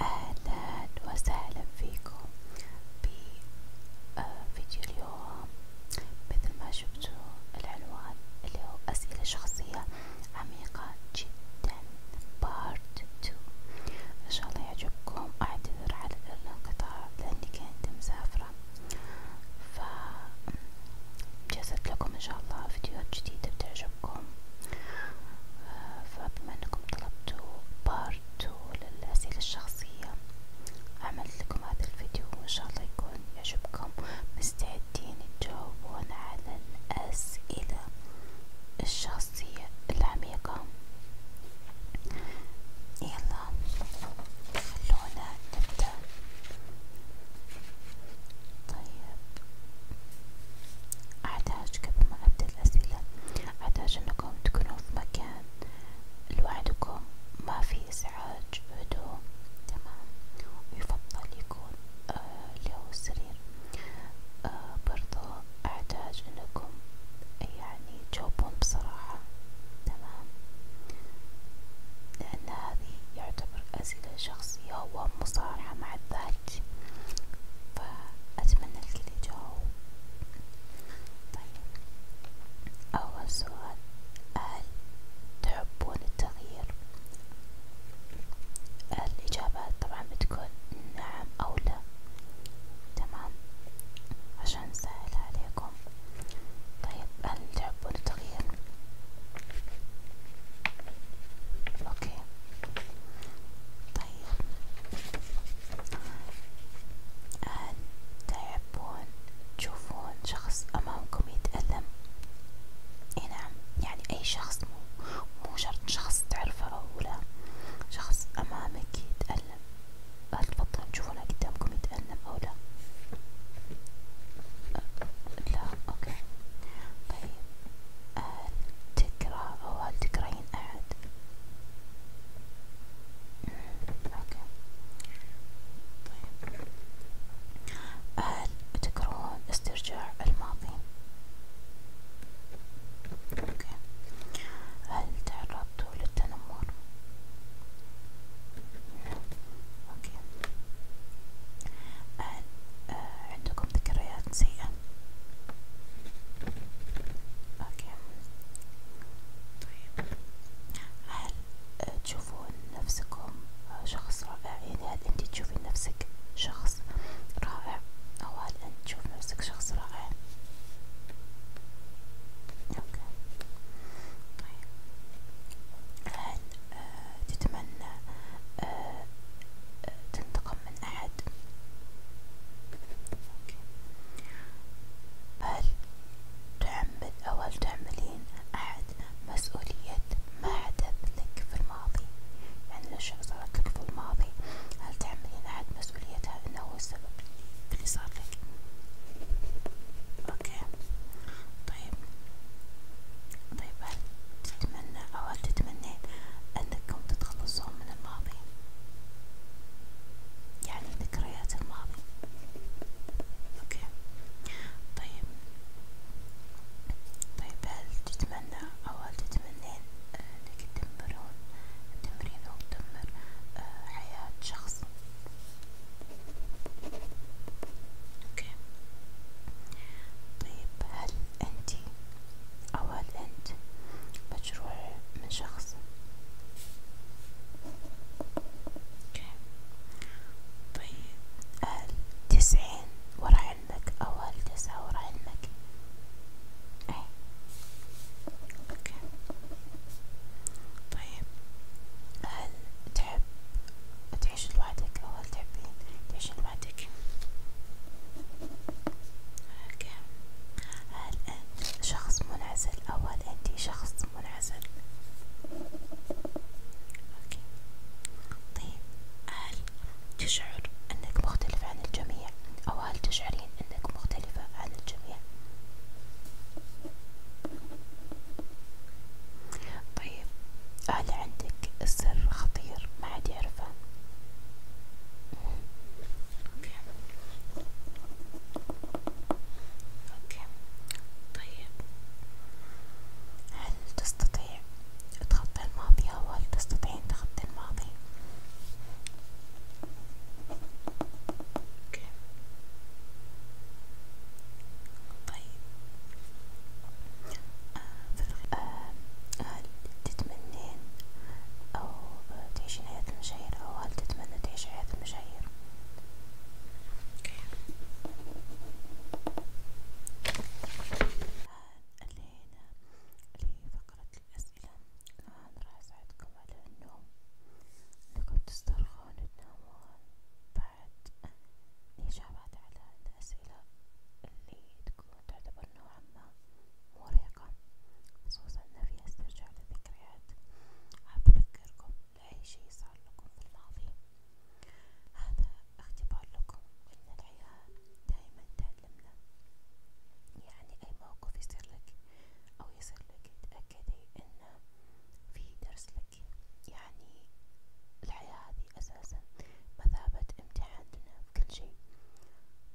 أهلا وسهلا فيكم بفيديو آه، اليوم مثل ما شفتوا العنوان اللي هو أسئلة شخصية عميقة جدا بارت 2 إن شاء الله يعجبكم أعتذر على الانقطاع لأني كنت مسافرة ف جازت لكم إن شاء الله فيديوهات جديدة بتعجبكم لكم آه، فبما انكم طلبتوا بارت للأسئلة الشخصية عملت لكم هذا الفيديو وان شاء الله يكون يعجبكم مستعدين تجاوبون على الأسئلة الشخصية العميقة يلا خلونا نبدأ طيب عدد أحتاج قبل ما أبدأ الأسئلة أحتاج أنكم تكونون في مكان لوحدكم ما في إزعاج هدوء تمام ويفضل يكون آه اللي هو السرير آه برضو أحتاج أنكم يعني تجاوبون بصراحة تمام لأن هذه يعتبر أسئلة شخصية ومصارحة مع الذات حياتي فأتمنى لك الإجابة طيب أول سؤال هل تحبون التغيير؟ الإجابات طبعا بتكون نعم أو لا تمام عشان نسهل عليكم طيب هل تحبون التغيير؟ اوكي طيب هل آه، تحبون تشوفون شخص أمامكم يتألم؟ اي نعم يعني أي شخص مو مو شرط شخص تعرفه أو لا شخص أمامك يتألم هل تفضلون تشوفونه قدامكم يتألم أو لا؟ آه، لا أوكي طيب هل آه، تكره أو هل تكرهين أحد؟ أوكي طيب هل تكرهون استرجاع الماضي؟ أوكي هل تعرضتوا للتنمر؟ أوكي هل آه، عندكم ذكريات سيئة اوكي طيب هل تشوفون نفسكم شخص رائع يعني هل انت تشوفين نفسك شخص رائع او هل انت تشوف نفسك شخص رائع اوكي طيب هل تتمنى آه، تنتقم من أحد هل تعمد أو هل تعملين أحد مسؤولية ما حدث لك في الماضي يعني الأشياء صارت لك في الماضي هل تعملين أحد مسؤوليتها أنه هو السبب اللي صار لك أوكي طيب طيب هل تتمنى أو هل تتمنى أنكم تتخلصون من الماضي يعني ذكريات الماضي اوكي طيب طيب هل تتمنى أو هل تتمنين أنك تدمرون تدمرين أو تدمر آه، حياة شخص اوكي طيب هل انتي او هل انت مجروح من شخص اوكي طيب هل تسعين ورا علمك او هل تسعة ورا علمك اي اوكي طيب هل تحب تحب تعيش لوحدك أو هل تحبين تعيشين لوحدك اوكي هل انت شخص منعزل او هل انت شخص منعزل اوكي طيب هل تشعر انك مختلف عن الجميع او هل تشعرين انك مختلفة عن الجميع طيب هل عندك سر خطير ما حد يعرفه اوكي اوكي طيب هل تستطيع تخطي الماضي او هل تستطيعين تخطي الماضي اوكي طيب آه آه هل تتمنين أو تعيشين حياة المشاهير أو هل تتمنى تعيش حياة المشاهير؟ اللي هنا لفقرة الأسئلة الآن راح أساعدكم على النوم إنكم تسترخون وتنامون بعد الإجابات على الأسئلة اللي تكون تعتبر نوعا ما مرهقة خصوصا إن فيها استرجاع للذكريات، حابة أذكركم بأي شي صار لكم في الماضي، هذا اختبار لكم إن الحياة دايما تعلمنا، يعني أي موقف يصير لك أو يصير لك تأكدي إنه في درس لك. حقي يعني الحياة هذه أساسا مثابة امتحان لنا بكل شيء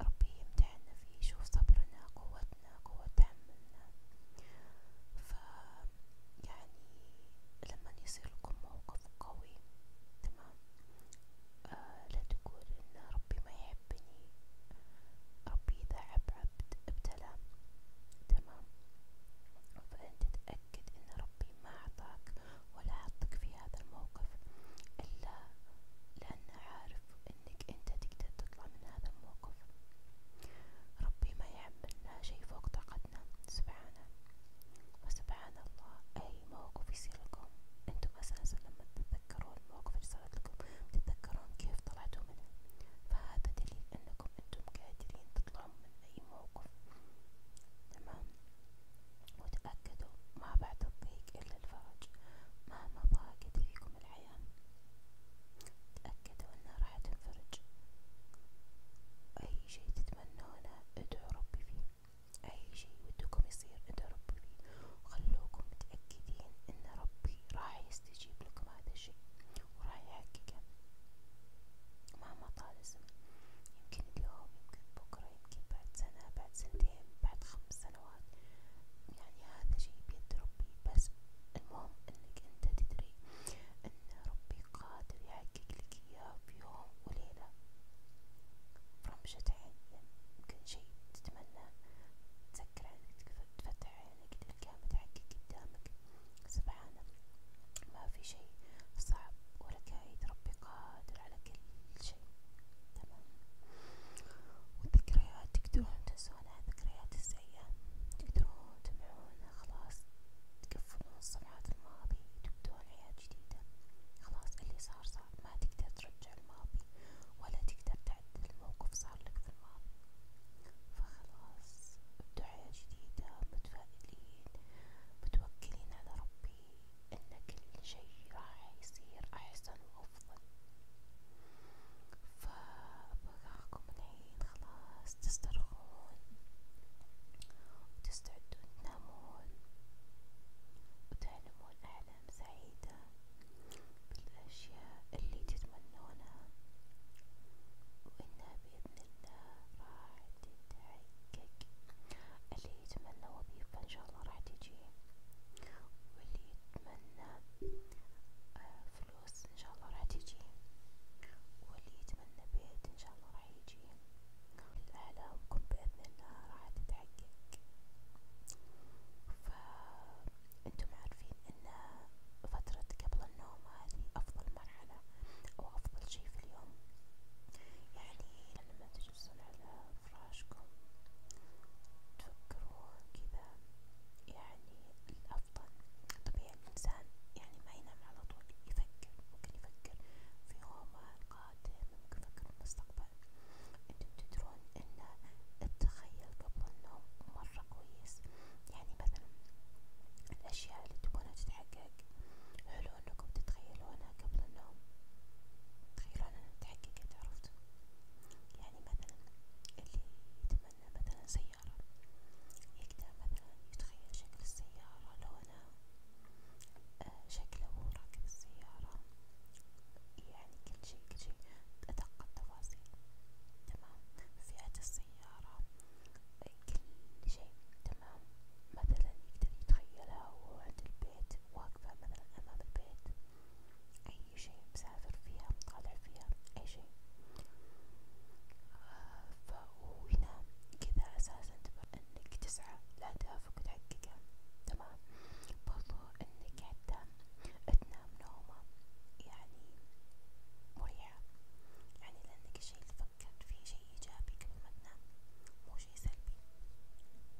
ربي يمتحنا فيه يشوف صبرنا قوتنا قوة تحملنا ف يعني لما يصير لكم موقف قوي تمام آه لا تقول ان ربي ما يحبني ربي اذا عب عبد ابتلى تمام فانت تأكد تأكد إن ربي ما أعطاك ولا حطك في هذا الموقف إلا لأنه عارف إنك أنت تقدر تطلع من هذا الموقف، ربي ما يحملنا شي فوق طاقتنا سبحانه، فسبحان الله أي موقف يصير لكم أنتم أساسا لما تتذكرون الموقف اللي صارت لكم تتذكرون كيف طلعتوا منه، فهذا دليل إنكم أنتم قادرين تطلعون من أي موقف. الموقف تمام وتأكدوا ما بعتوا الضيق إلا الفرج مهما ضاقت فيكم الحياة تأكدوا أنها راح تنفرج أي شي تتمنونه ادعوا ربي فيه أي شي ودكم يصير ادعوا ربي فيه وخلوكم متأكدين أن ربي راح يستجيب لكم هذا شي وراح يحققه مهما طال الزمن يمكن اليوم يمكن بكرة يمكن بعد سنة بعد سنتين بعد خمس سنوات يعني هذا شي بيد ربي بس المهم انك انت تدري ان ربي قادر يحقق لك اياه بيوم وليلة فرمشة عين يعني يمكن شي تتمنى تسكر عينك تفتح عينك تلقاه متحقق قدامك سبحانه ما في شيء صعب ولكائد ربي قادر على كل شيء تمام والذكريات تقدرون تنسونها الذكريات السيئة تقدرون تمحونها خلاص تقفلون صفحات الماضي تبدون حياة جديدة خلاص اللي صار صار ما تقدر ترجع الماضي ولا تقدر تعدل الموقف صار لك في الماضي فخلاص أبدو حياة جديدة متفائلين متوكلين على ربي أن كل شي راح يصير أحسن وأفضل فبقاكم الحين خلاص تسترخون وتستعدون تنامون وتحلمون أحلام سعيدة بالأشياء اللي تتمنونها وإن احنا باذن الله راح تتحقق اللي يتمنى وظيفة ان شاء الله راح تجي واللي يتمنى آه فلوس ان شاء الله راح تجي واللي يتمنى بيت ان شاء الله راح يجي احلامكم باذن الله راح تتحقق ف انتم عارفين ان فترة قبل النوم هذه افضل مرحلة او افضل شي في اليوم يعني لما تجلسون على فراشكم تفكرون كذا يعني الافضل طبيعي الانسان يعني ما ينام على طول يفكر ممكن يفكر في يومه القادم ممكن يفكر في المستقبل انتم تدرون ان التخيل قبل النوم مرة مرة كويس يعني مثلا الأشياء اللي تبونها تتحقق حلو أنكم تتخيلونها قبل النوم تخيلون أنها تحققت عرفتوا يعني مثلا اللي يتمنى مثلا سيارة يقدر مثلا يتخيل شكل السيارة لونها آه شكله وراكب السيارة يعني كل شي كل شي بأدق التفاصيل تمام فئة السيارة كل شيء تمام مثلا يقدر يتخيلها وهو عند البيت واقفة مثلا أمام البيت أي شيء مسافر فيها مطالع فيها أي شيء آه، فهو ينام كذا أساسا تبقى إنك تسعى لأهدافك وتحققها تمام برضو إنك حتى تنام نومة يعني مريحة يعني لأنك الشي اللي فكرت فيه شي إيجابي قبل ما تنام مو شي سلبي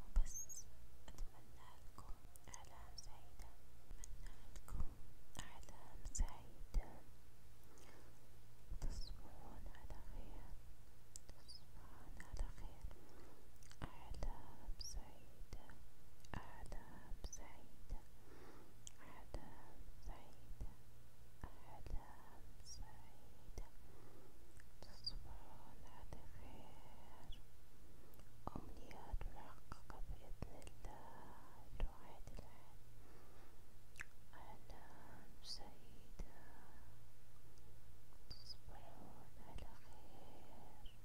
وبس أتمنالكم أحلام سعيدة أتمنالكم أحلام سعيدة تصبحون على خير تصبحون على خير أحلام سعيدة سعيدة أحلام سعيدة أحلام سعيدة أحلام سعيدة تصبحون على خير أمنيات محققة بإذن الله الواحد الأحد أحلام سعيدة تصبحون على خير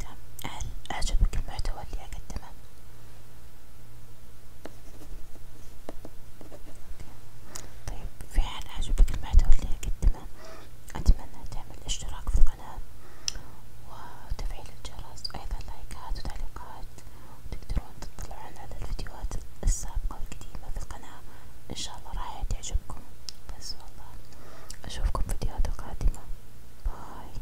تم هل أعجبك المحتوى اللي أقدمه؟ تمام طيب في حال عجبك المحتوى اللي قدمه أتمنى تعمل اشتراك في القناة وتفعيل الجرس وأيضا لايكات وتعليقات وتقدرون تطلعون على الفيديوهات السابقة والقديمة في القناة إن شاء الله راح تعجبكم بس والله أشوفكم فيديوهات قادمة باي